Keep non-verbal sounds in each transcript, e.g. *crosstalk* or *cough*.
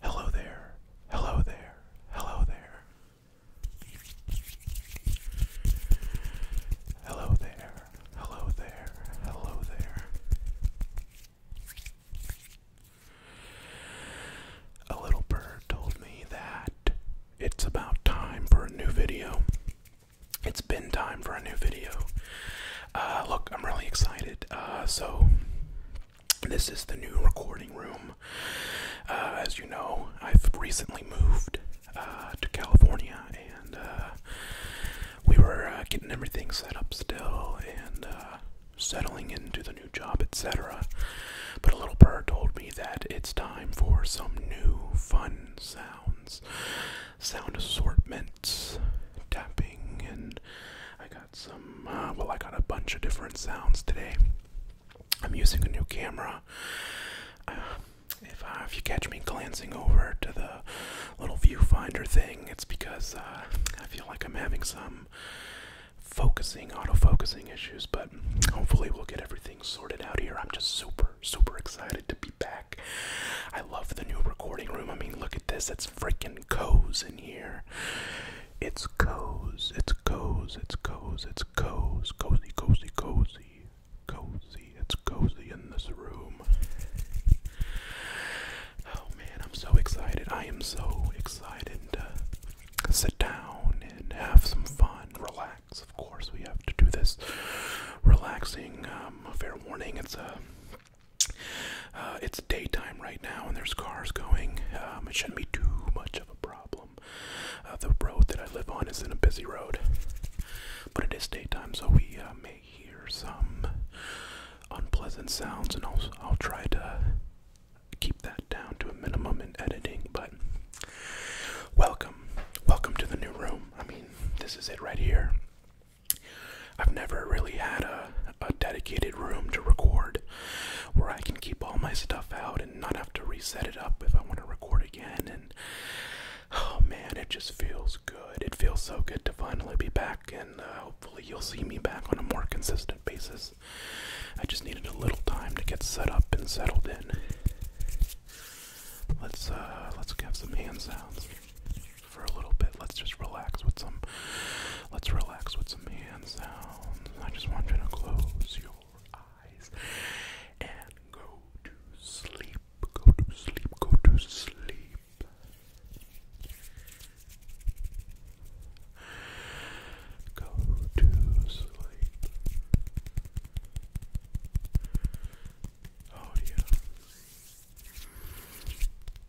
Hello there, hello there, hello there. Hello there, hello there, hello there. A little bird told me that it's about time for a new video. It's been time for a new video. Uh, look, I'm really excited. Uh, so, this is the new recording room. Uh, as you know, I've recently moved uh, to California, and uh, we were getting everything set up still and settling into the new job, etc. But a little bird told me that it's time for some new fun sounds, sound assortments, tapping, and I got some, uh, well, I got a bunch of different sounds today. I'm using a new camera. Uh, if, uh, if you catch me glancing over to the little viewfinder thing, it's because I feel like I'm having some focusing, autofocusing issues, but hopefully we'll get everything sorted out here. I'm just super, super excited to be back. I love the new recording room. I mean, look at this. It's freaking cozy in here. It's cozy, it's cozy, it's cozy, it's cozy, cozy, cozy, cozy, cozy, it's cozy in this room. Oh man, I'm so excited. I am so excited to sit down and have some fun, relax. Of course, we have to do this relaxing. Um, fair warning, it's a uh, it's daytime right now, and there's cars going. Um, it shouldn't be too much of a problem. Uh, the road that I live on is in a busy road, but it is daytime, so we uh, may hear some unpleasant sounds, and I'll, I'll try to keep that down to a minimum in editing. But welcome, welcome to the new room. I mean, this is it right here. I've never really had a, a dedicated room to record where I can keep all my stuff out and not have to reset it up if I want to record again. And oh man, it just feels good. It feels so good to finally be back, and uh, hopefully, you'll see me back on a more consistent basis. I just needed a little time to get set up and settled in. Let's uh, let's have some hand sounds for a little bit. Let's just relax with some. Let's relax with some hand sounds. I just want you to close your eyes and go to sleep. Go to sleep. Go to sleep. Go to sleep. Oh yeah.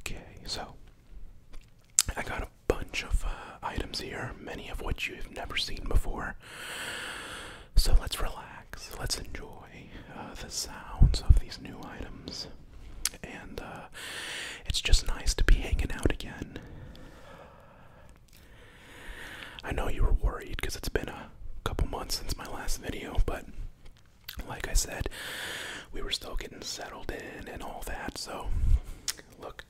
Okay, so I got a bunch of uh, items here, many of which you've never seen before. So let's relax. Let's enjoy uh, the sounds of these new items. And uh, it's just nice to be hanging out again. I know you were worried because it's been a couple months since my last video, but like I said, we were still getting settled in and all that. So, look,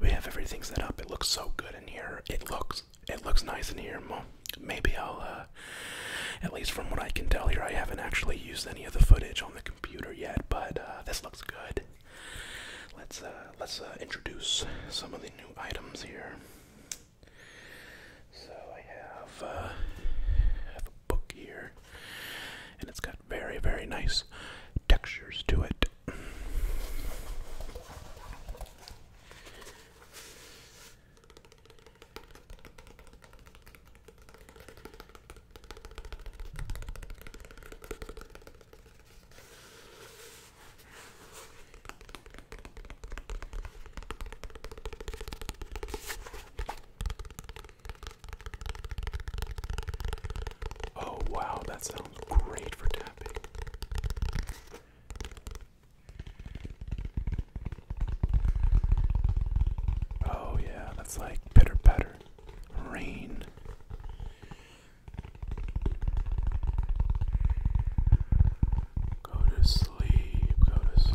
we have everything set up. It looks so good in here. It looks it looks nice in here. maybe I'll, uh, at least from what I can tell here, I haven't actually used any of the footage on the computer yet, but uh, this looks good. Let's uh, let's introduce some of the new items here. So I have a book here, and it's got very very nice textures to it. Oh, wow, that sounds great for tapping. Oh, yeah, that's like bitter patter. Rain. Go to sleep, go to sleep.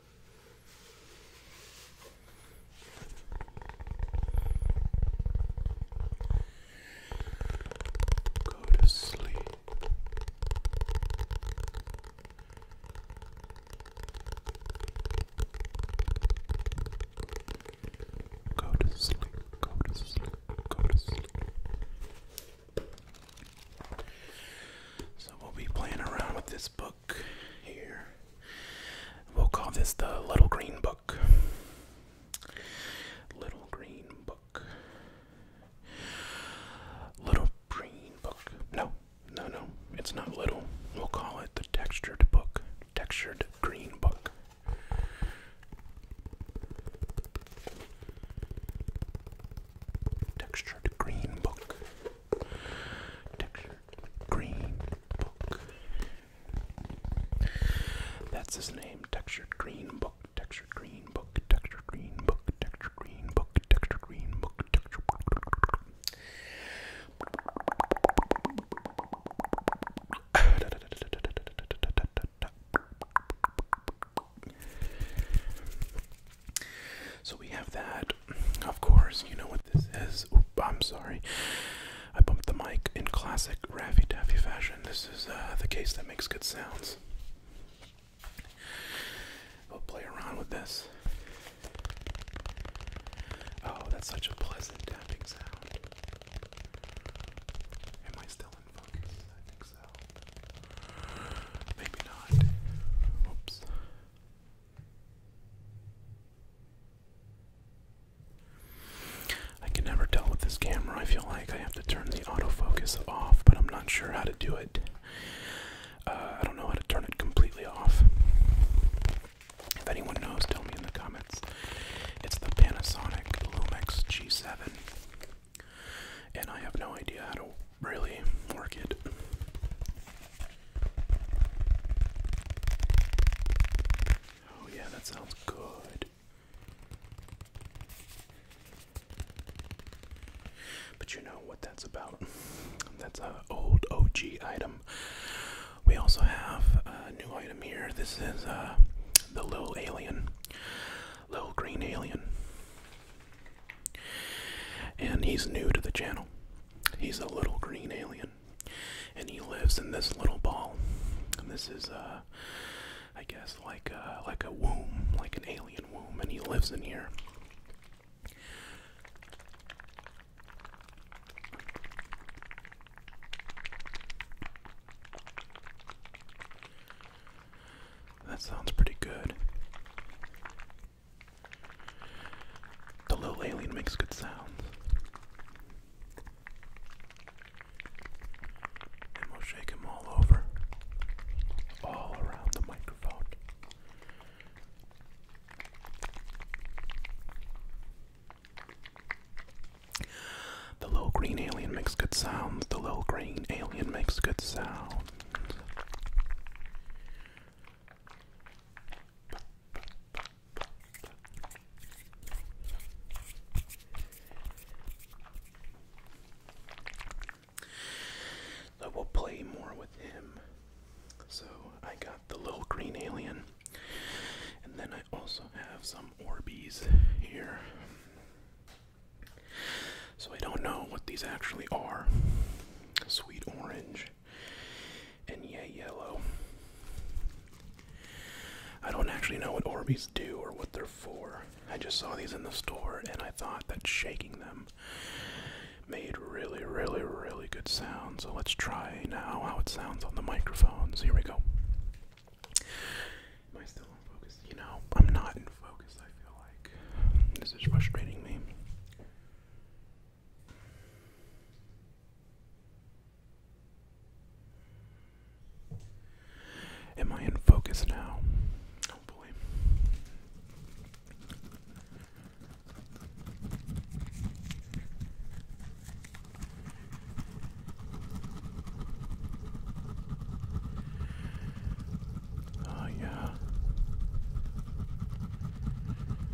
Go to sleep. Go to sleep. Go to sleep. Go to sleep. So we'll be playing around with this book here. We'll call this the Little Green Book. Little Green Book. Little Green Book. No, no, no. It's not little. We'll call it the Textured Book. Textured Green Book. Textured Green Book. Textured Green Book. That's his name. Textured Green Book. Textured Green Book. Textured Green Book. Textured Green Book. Textured Green Book. So we have that. Of course, you know what this is. Oop, I'm sorry. I bumped the mic in classic Raffy Daffy fashion. This is uh, the case that makes good sounds. We'll play around with this. Oh, that's such a pleasant tapping sound. Am I still in focus? I think so. Maybe not. Oops. I can never tell with this camera. I feel like I have to turn the autofocus off, but I'm not sure how to do it. Uh, I don't know how to turn it completely off. If anyone knows, tell me in the comments. It's the Panasonic Lumix G7, and I have no idea how to really work it. Oh, yeah, that sounds good. But you know what that's about. That's an old OG item. We also have a new item here. This is uh, the little alien, little green alien. And he's new to the channel. He's a little green alien, and he lives in this little ball. And this is, uh, I guess, like a, uh, like a womb, like an alien womb, and he lives in here. That sounds pretty good. The little alien makes good sounds. And we'll shake him all over, all around the microphone. The little green alien makes good sounds. The little green alien makes good sounds. I will play more with him. So I got the little green alien, and then I also have some Orbeez here. So I don't know what these actually are. Sweet orange, and yeah, yellow. I don't actually know what Orbeez do or what they're for. I just saw these in the store and I thought that shaking them made really, really, really good sound. So let's try now how it sounds on the microphones. Here we go. Am I still in focus? You know, I'm not in focus, I feel like. This is frustrating me. Am I in focus now? Oh ah, yeah.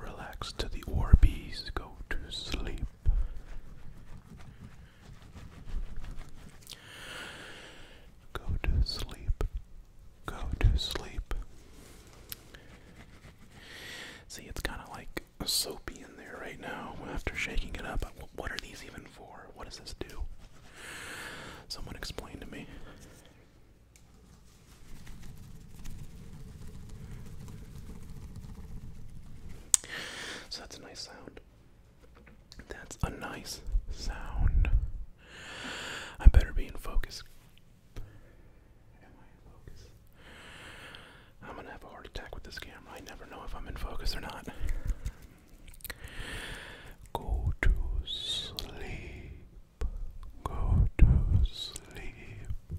Relax to the Orbeez, go to sleep. Go to sleep. Go to sleep. See, it's kind of like a soapy in there right now after shaking it up. What are these even for? What does this do? Someone explain to me. So that's a nice sound. That's a nice sound. I better be in focus. Am I in focus? I'm gonna have a heart attack with this camera. I never know if I'm in focus or not. Go to sleep go to sleep,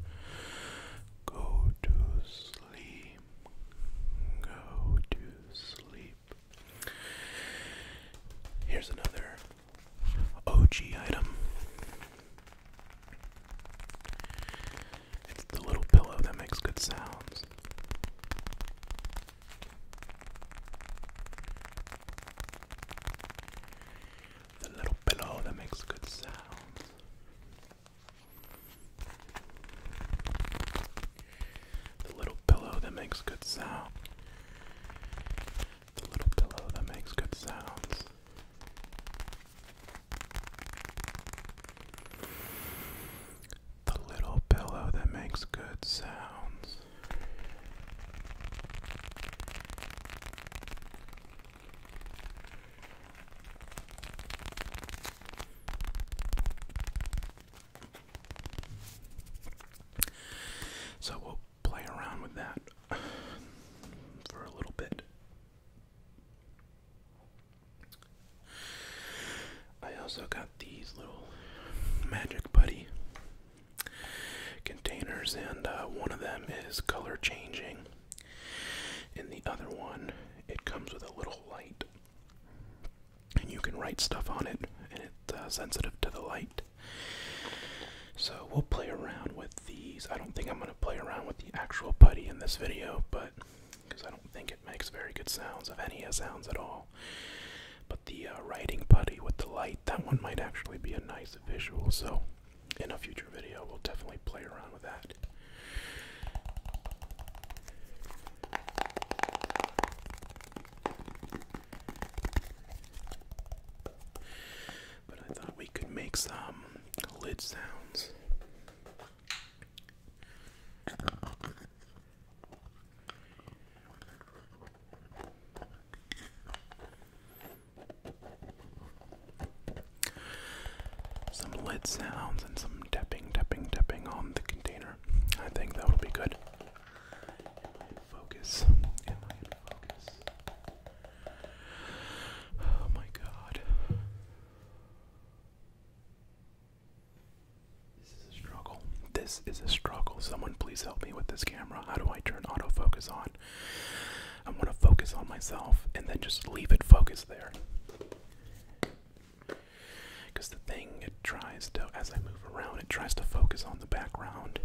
go to sleep, go to sleep. Here's another OG item. It's the little pillow that makes good sounds the little pillow that makes good sounds. The little pillow that makes good sound. The little pillow that makes good sounds. The little pillow that makes good sounds. So we'll play around with that *sighs* for a little bit. I also got these little Magic Buddy containers, and uh, one of them is color changing. In the other one, it comes with a little light, and you can write stuff on it, and it's uh, sensitive to the light. So we'll play around with these. I don't think I'm going to play around with the actual putty in this video, but because I don't think it makes very good sounds, if any uh, sounds at all. But the uh, writing putty with the light, that one might actually be a nice visual. So in a future video, we'll definitely play around with that. But I thought we could make some lid sounds. Some lid sounds and some tapping, tapping, tapping on the container. I think that will be good. focus? Am I in focus? Oh my god. This is a struggle. This is a struggle. Someone please help me with this camera. How do I turn autofocus on? I want to focus on myself and then just leave it focused there. Because the thing, it tries to, as I move around, it tries to focus on the background.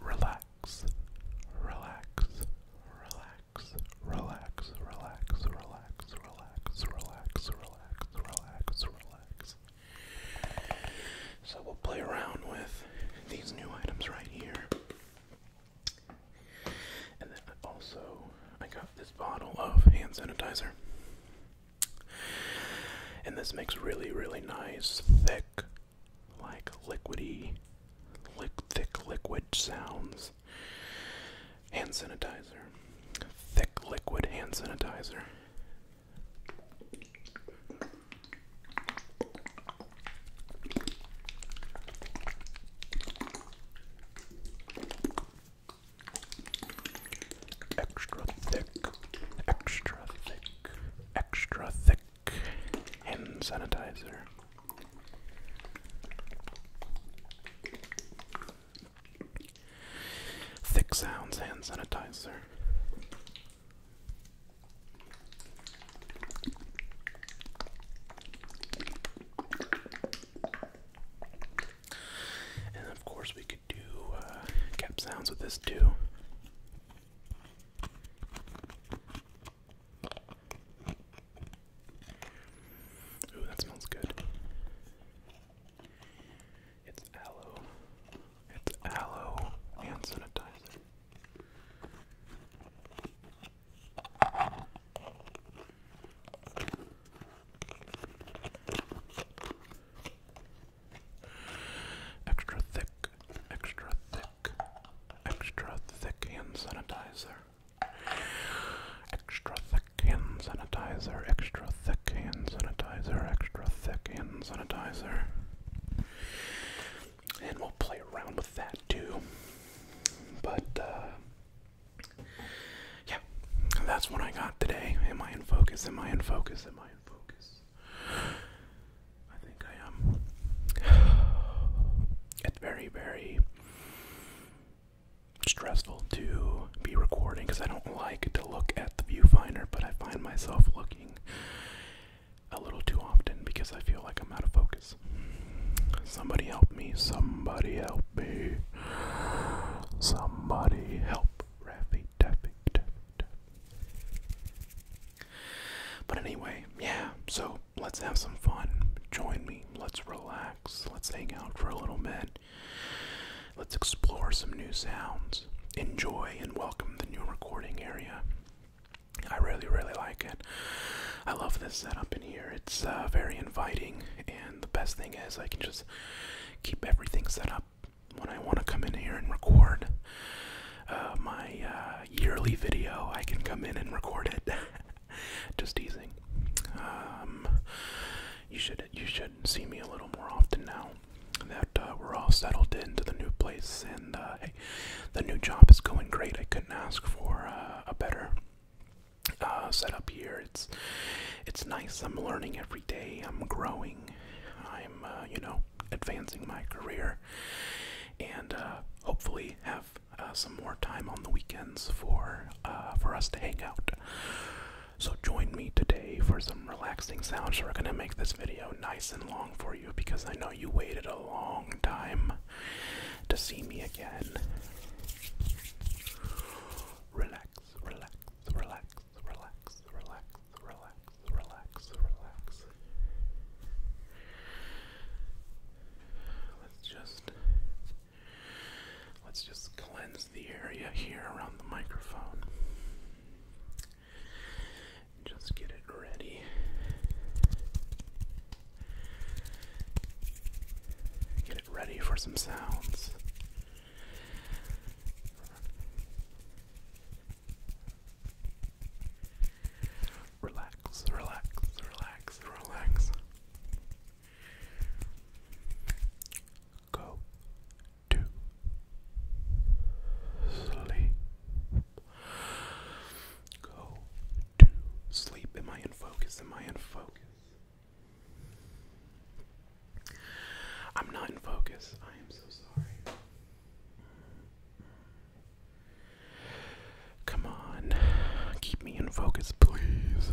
Relax, relax, relax, relax, relax, relax, relax, relax, relax, relax relax, relax, relax. So we'll play around with these new items right here. And then I also I got this bottle of hand sanitizer. And this makes really, really nice, thick, like liquidy, thick liquid sounds hand sanitizer, thick liquid hand sanitizer. Extra thick, extra thick, extra thick hand sanitizer. Thick sounds hand sanitizer. And of course, we could do uh, cap sounds with this too. Ooh, that smells good. It's aloe. It's aloe and sanitizer. Extra thick, extra thick, extra thick and sanitizer. Extra thick thick hand sanitizer, extra thick hand sanitizer, extra thick hand sanitizer. And we'll play around with that too. But, uh, yeah, that's what I got today. Am I in focus? Am I in focus? Am I in focus? I think I am. *sighs* It's very, very stressful to be recording because I don't like to look at the viewfinder, but I find myself looking a little too often because I feel like I'm out of focus. Somebody help me. Somebody help me. Somebody help Raffy Taffy Taffy Taffy. But anyway, yeah, so let's have some fun. Join me. Let's relax. Let's hang out for a little bit. Let's explore some new sounds. Enjoy and welcome the new recording area. I really, really like it. I love this setup in here. It's uh, very inviting, and the best thing is I can just keep everything set up when I want to come in here and record uh, my uh, yearly video. I can come in and record it. *laughs* just teasing. Um, you should you should see me a little more often now that uh, we're all settled into the new place and uh, the new job is going great. I couldn't ask for uh, a better setup here. It's it's nice. I'm learning every day. I'm growing. I'm you know advancing my career and hopefully have some more time on the weekends for for us to hang out. So join me today for some relaxing sounds. We're gonna make this video nice and long for you because I know you waited a long time to see me again. Relax, relax, relax, relax, relax, relax, relax, relax. Let's just Let's just cleanse the area here around the microphone. Just get it ready. Get it ready for some sounds. Relax, relax, relax, relax go to sleep. Go to sleep. Am I in focus? Am I in focus? I'm not in focus. I am so sorry. Come on, keep me in focus, please.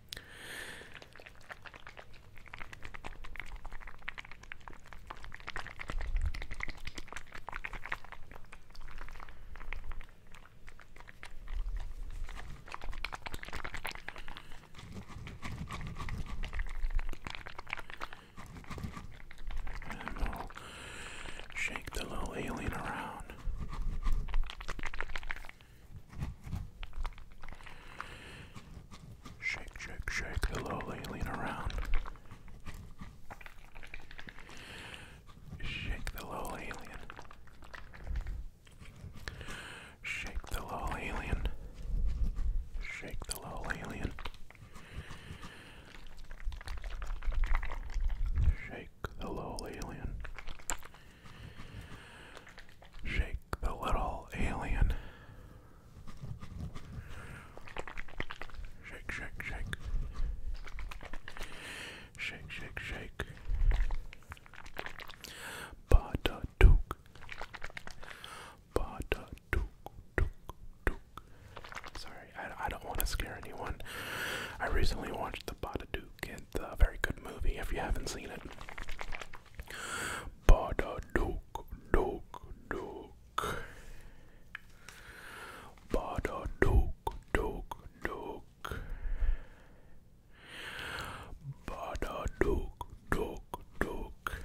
And we'll shake the little alien around. Shake, shake, shake. Hello, lean, lean around. Shake the little alien. Shake the little alien. Shake the little alien. Shake the little alien. Shake the little alien. Shake, shake, shake. Shake, shake, shake. Bada duke. Bada duke, duke, duke. Sorry, I, I don't want to scare anyone. I recently watched the Bada Duke. It's a very good movie if you haven't seen it. Badaduk, duk, duk. Badaduk, duk, duk. Badaduk, duk, duk.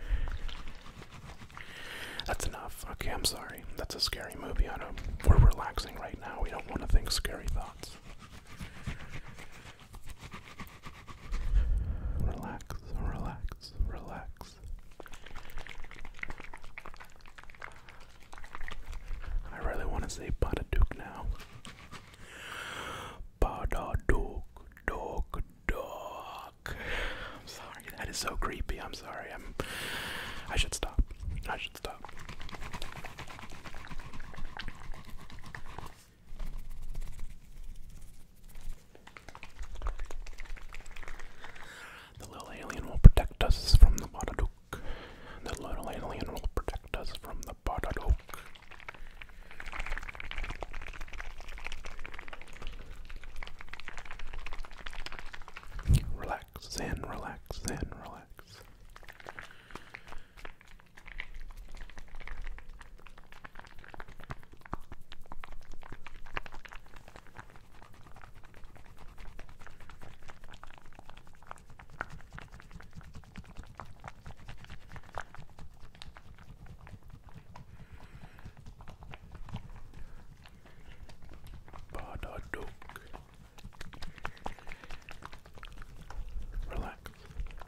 That's enough. Okay, I'm sorry. That's a scary movie. I don't. We're relaxing right now. We don't want to think scary thoughts. Relax, relax, relax. I really want to say Badaduke now. Badaduke, duck, duck. I'm sorry, that is so creepy. I'm sorry. I'm. I should stop. I should stop. The little alien will protect us from the Botadook. The little alien will protect us from the Botadook. Relax and relax and relax. Badadook. Relax.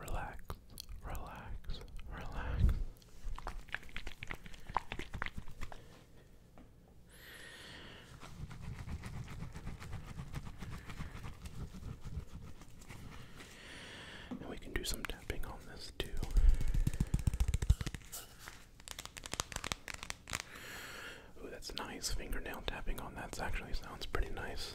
relax, relax, relax. And we can do some tapping on this too. Ooh, that's nice. Fingernail tapping on that actually sounds pretty nice.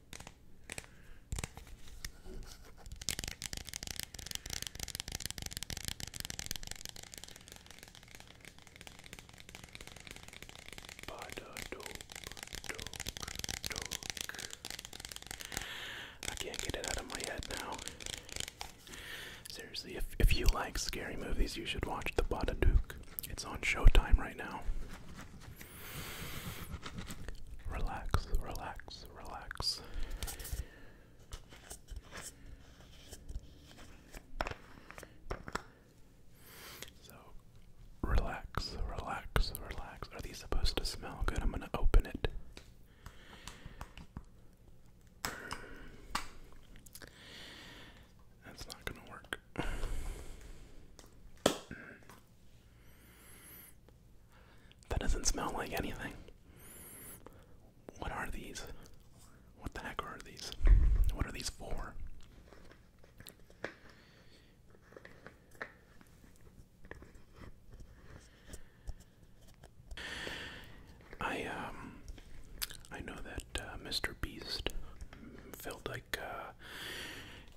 I can't get it out of my head now. Seriously, if, if you like scary movies, you should watch The Duke. It's on Showtime right now. Relax, relax, relax. So, relax, relax, relax. Are these supposed to smell good? I'm going to open it. That's not going to work. That doesn't smell like anything. What are these? What the heck are these? What are these for? I um I know that uh, Mr. Beast felt like uh,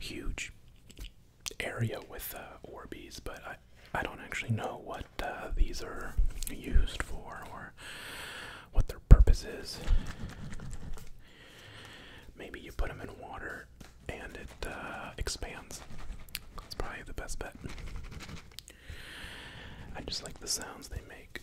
huge area with uh, Orbeez, but I, I don't actually know what uh, these are used for or what their purpose is. Maybe you put them in water and it uh, expands. That's probably the best bet. I just like the sounds they make.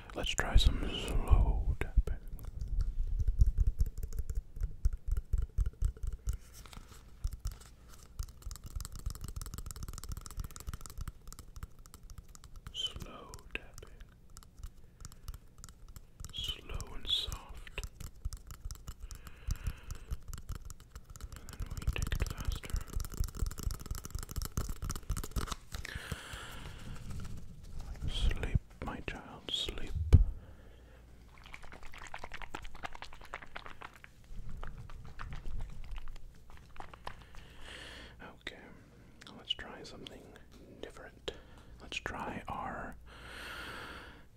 Let's try some slow tapping. Slow tapping. Slow and soft. then we take it faster. Sleep, my child, sleep. Okay, let's try something different. Let's try our.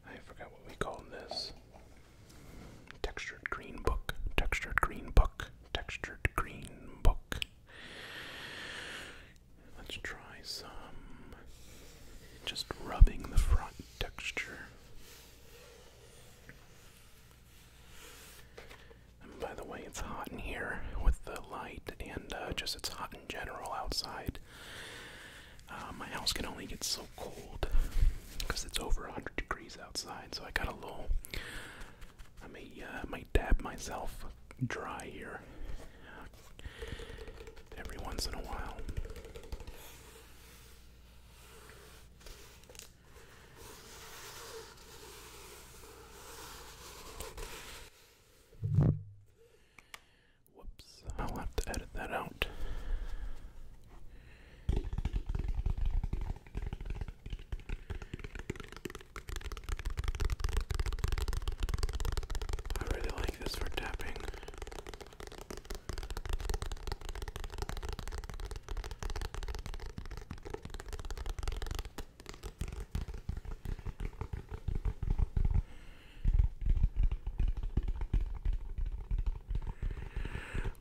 I forgot what we called this. Textured green book. Textured green book. Textured green book. Let's try some just rubbing the front texture. by the way, it's hot in here with the light, and uh, just it's hot in general outside. Uh, my house can only get so cold because it's over 100 degrees outside, so I got a little. I may, uh, dab myself dry here every once in a while. Whoops, I'll have to edit that out. I really like this for tapping.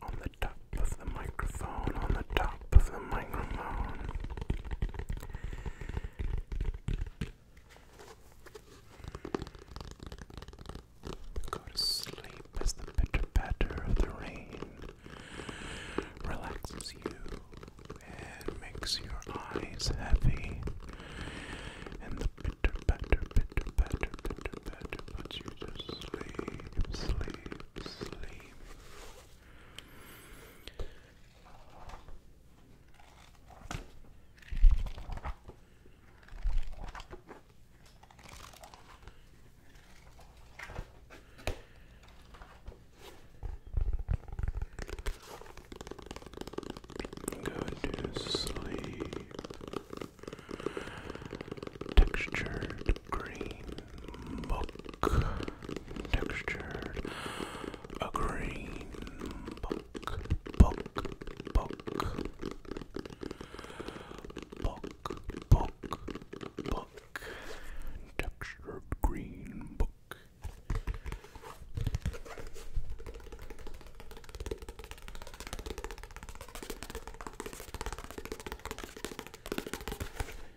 On the top of the microphone, on the top of the microphone. Go to sleep as the bitter patter of the rain relaxes you and makes your eyes heavy. And the pitter patter, pitter patter, pitter patter puts you to sleep, sleep, sleep. Go to sleep. Textured green book textured, a green book, book, book, book, book, book, textured green book.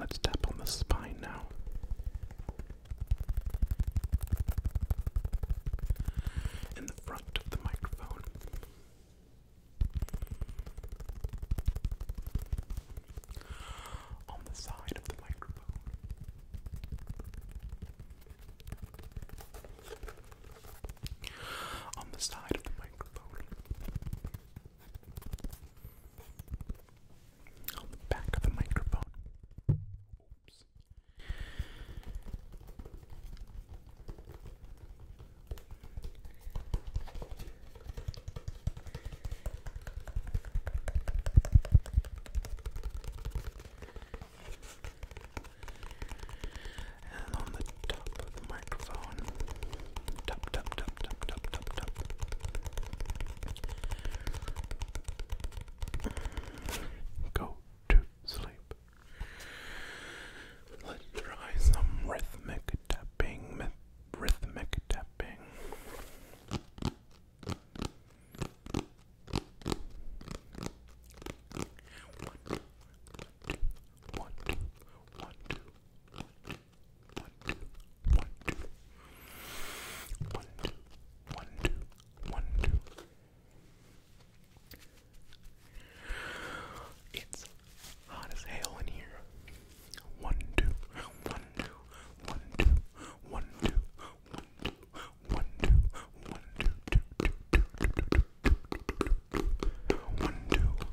Let's tap on the spine now in the front of the microphone. On the side of the microphone. On the side of the microphone on the back of the microphone. Oops. And on the top of the microphone, top, top, top, top, top, top, top. Go to sleep. Let's try some rhythmic tapping, rhythmic tapping. One, two, one, two, one, two, one, two, one, two, one, two, one, two, one, two. It's hot as hell in here. One, two, one, two, one, two, one, two, one, two, one, two, one, two, two, two, two, two, two, two, one, two.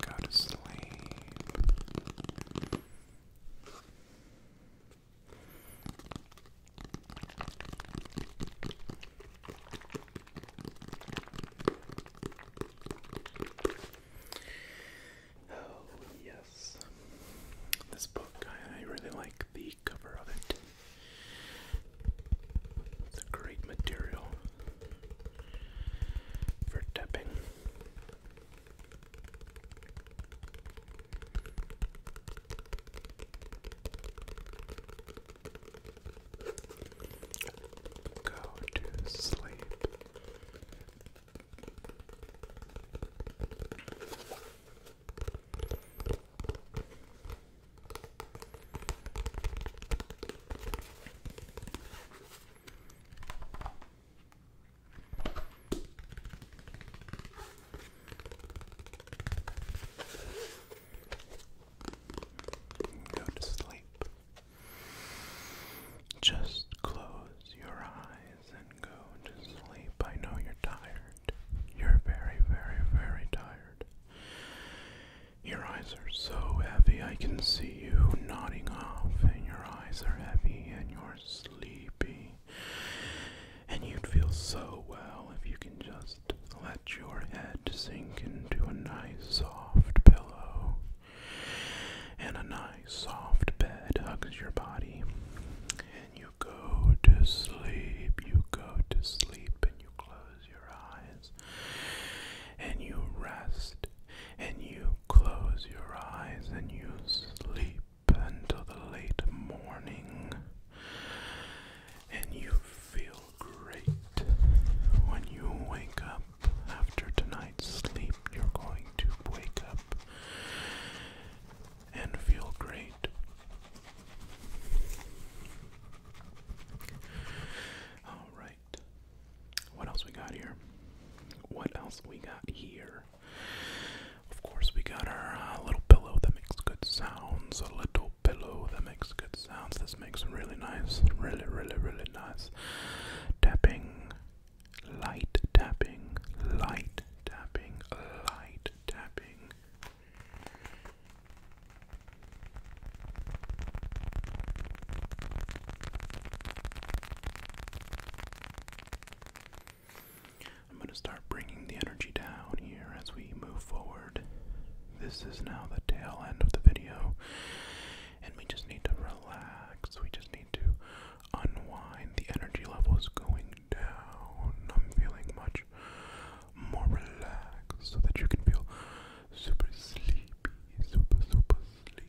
Go to sleep. Oh, yes. This book, I, really like the cover of it. It's a great material for dipping. Go to sleep. Go to sleep. Just close your eyes and go to sleep. I know you're tired. You're very, very, very tired. Your eyes are so heavy, I can see you nodding off, and your eyes are heavy, and you're sleepy. And you'd feel so well if you can just let your head sink into a nice soft pillow. And a nice soft bed hugs your body. And you go to sleep, you go to sleep, and you close your eyes and you rest, and you close your eyes, and you sleep until the late morning, and you feel great when you wake up. After tonight's sleep, you're going to wake up and feel great. All right. What else we got here? What else we got here? Of course, we got our uh, little pillow that makes good sounds. A little pillow that makes good sounds. This makes really nice, really, really, really nice tapping, light tapping, light tapping, light tapping. I'm going to start bringing the energy down here as we move forward. This is now the tail end of the video, and we just need to relax. We just need to unwind. The energy level is going down. I'm feeling much more relaxed so that you can feel super sleepy, super, super, sleepy.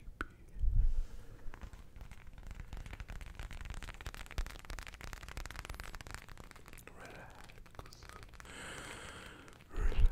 Relax. Relax. Relax. Relax.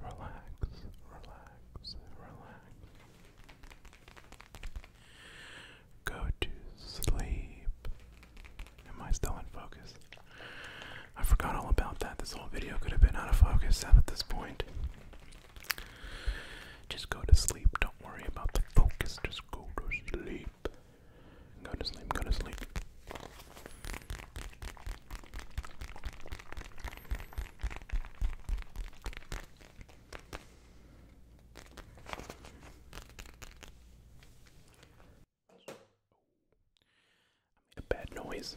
Relax, relax, relax. Go to sleep. Am I still in focus? I forgot all about that. This whole video could have been out of focus at this point. Just go to sleep. Don't worry about the focus. Just go to sleep. Go to sleep. Go to sleep a bad noise.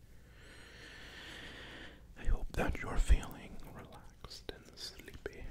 I hope that you're feeling relaxed and sleepy.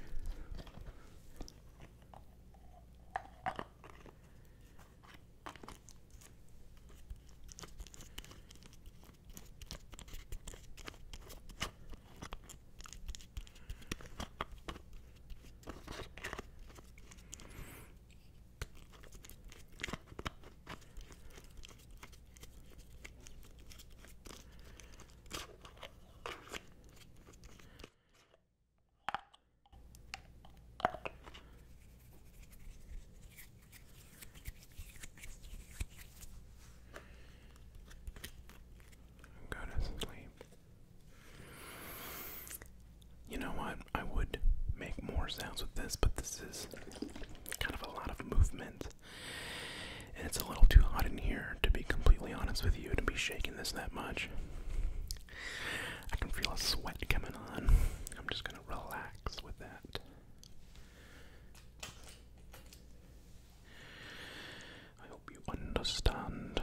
Go to sleep. You know what? I would make more sounds with this, but this is kind of a lot of movement. And it's a little too hot in here, to be completely honest with you, to be shaking this that much. I can feel a sweat coming on. I'm just going to relax with that. I hope you understand.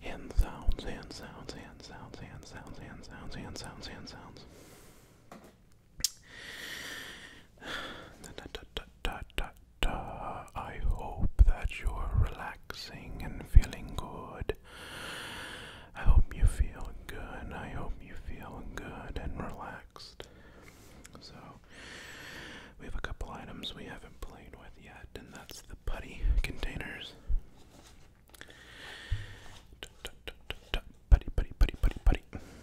Hand sounds, hand sounds, hand sounds, hand sounds, hand sounds, hand sounds, hand sounds. *sighs* I hope that you're relaxing and feeling good good. I hope you feel good. I hope you feel good and relaxed. So, we have a couple items we haven't played with yet, and that's the putty containers. Putty, putty, putty, putty, putty.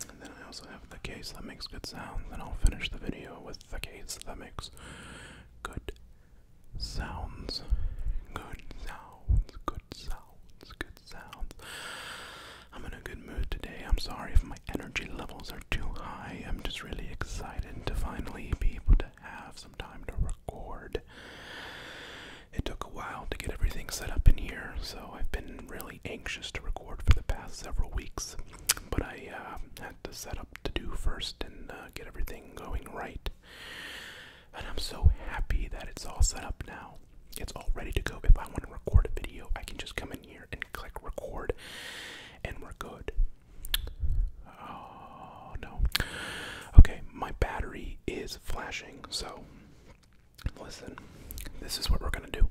And then I also have the case that makes good sounds, and I'll finish the video with the case that makes good sounds. Good sounds, good sounds, good sounds. I'm in a good mood today. I'm sorry if my energy levels are too high. I'm just really excited to finally be able to have some time to record. It took a while to get everything set up in here, so I've been really anxious to record for the past several weeks. But I uh, had to set up to do first and uh, get everything going right. And I'm so happy that it's all set up now. It's all ready to go. If I want to record a video, I can just come in here and click record, and we're good. Oh no. Okay, my battery is flashing, so listen, this is what we're gonna do.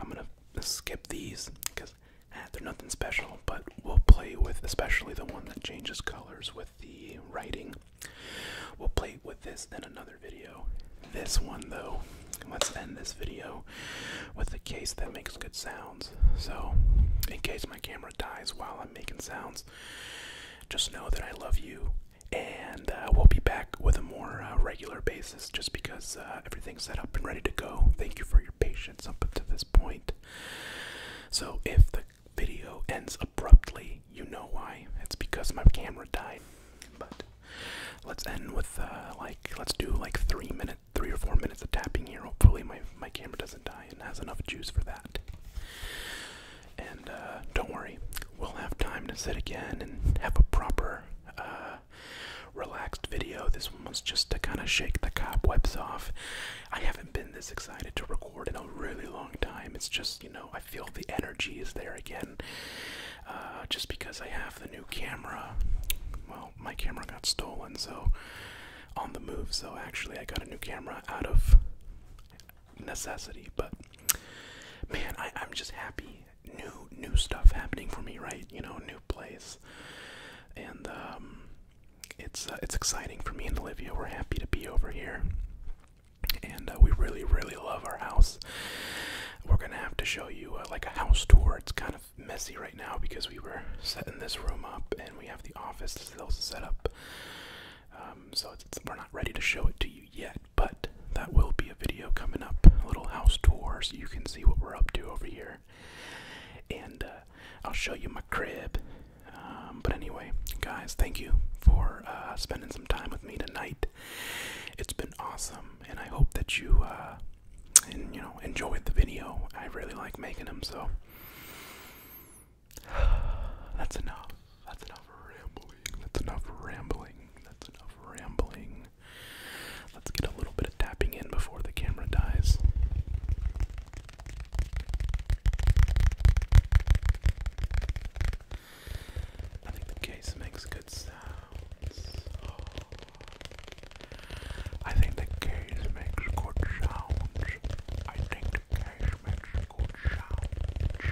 I'm gonna skip these because ah, they're nothing special, but we'll play with especially the one that changes colors with the writing We'll play with this in another video. This one, though, let's end this video with a case that makes good sounds. So, in case my camera dies while I'm making sounds, just know that I love you. And uh, we'll be back with a more uh, regular basis just because uh, everything's set up and ready to go. Thank you for your patience up to this point. So, if the video ends abruptly, you know why. It's because my camera died. But let's end with uh, like let's do like three minutes, three or four minutes of tapping here. Hopefully my my camera doesn't die and has enough juice for that. And uh, don't worry, we'll have time to sit again and have a proper, uh, relaxed video. This one was just to kind of shake the cobwebs off. I haven't been this excited to record in a really long time. It's just, you know, I feel the energy is there again. Uh, just because I have the new camera. Well, my camera got stolen, so on the move. So actually, I got a new camera out of necessity. But man, I, am just happy. New, new stuff happening for me, right? You know, new place, and um, it's uh, it's exciting for me and Olivia. We're happy to be over here and uh, we really really love our house we're gonna have to show you uh, like a house tour it's kind of messy right now because we were setting this room up and we have the office still set up um, so we're not ready to show it to you yet but that will be a video coming up a little house tour so you can see what we're up to over here and uh, i'll show you my crib um, but anyway guys thank you for spending some time with me tonight. It's been awesome, and I hope that you uh, you know enjoyed the video. I really like making them, so *sighs* that's enough. That's enough rambling. That's enough rambling. That's enough rambling. Let's get a little bit of tapping in before the camera dies. Oh. I think the case makes good sounds. I think the case makes good sounds. I think the case makes good sounds.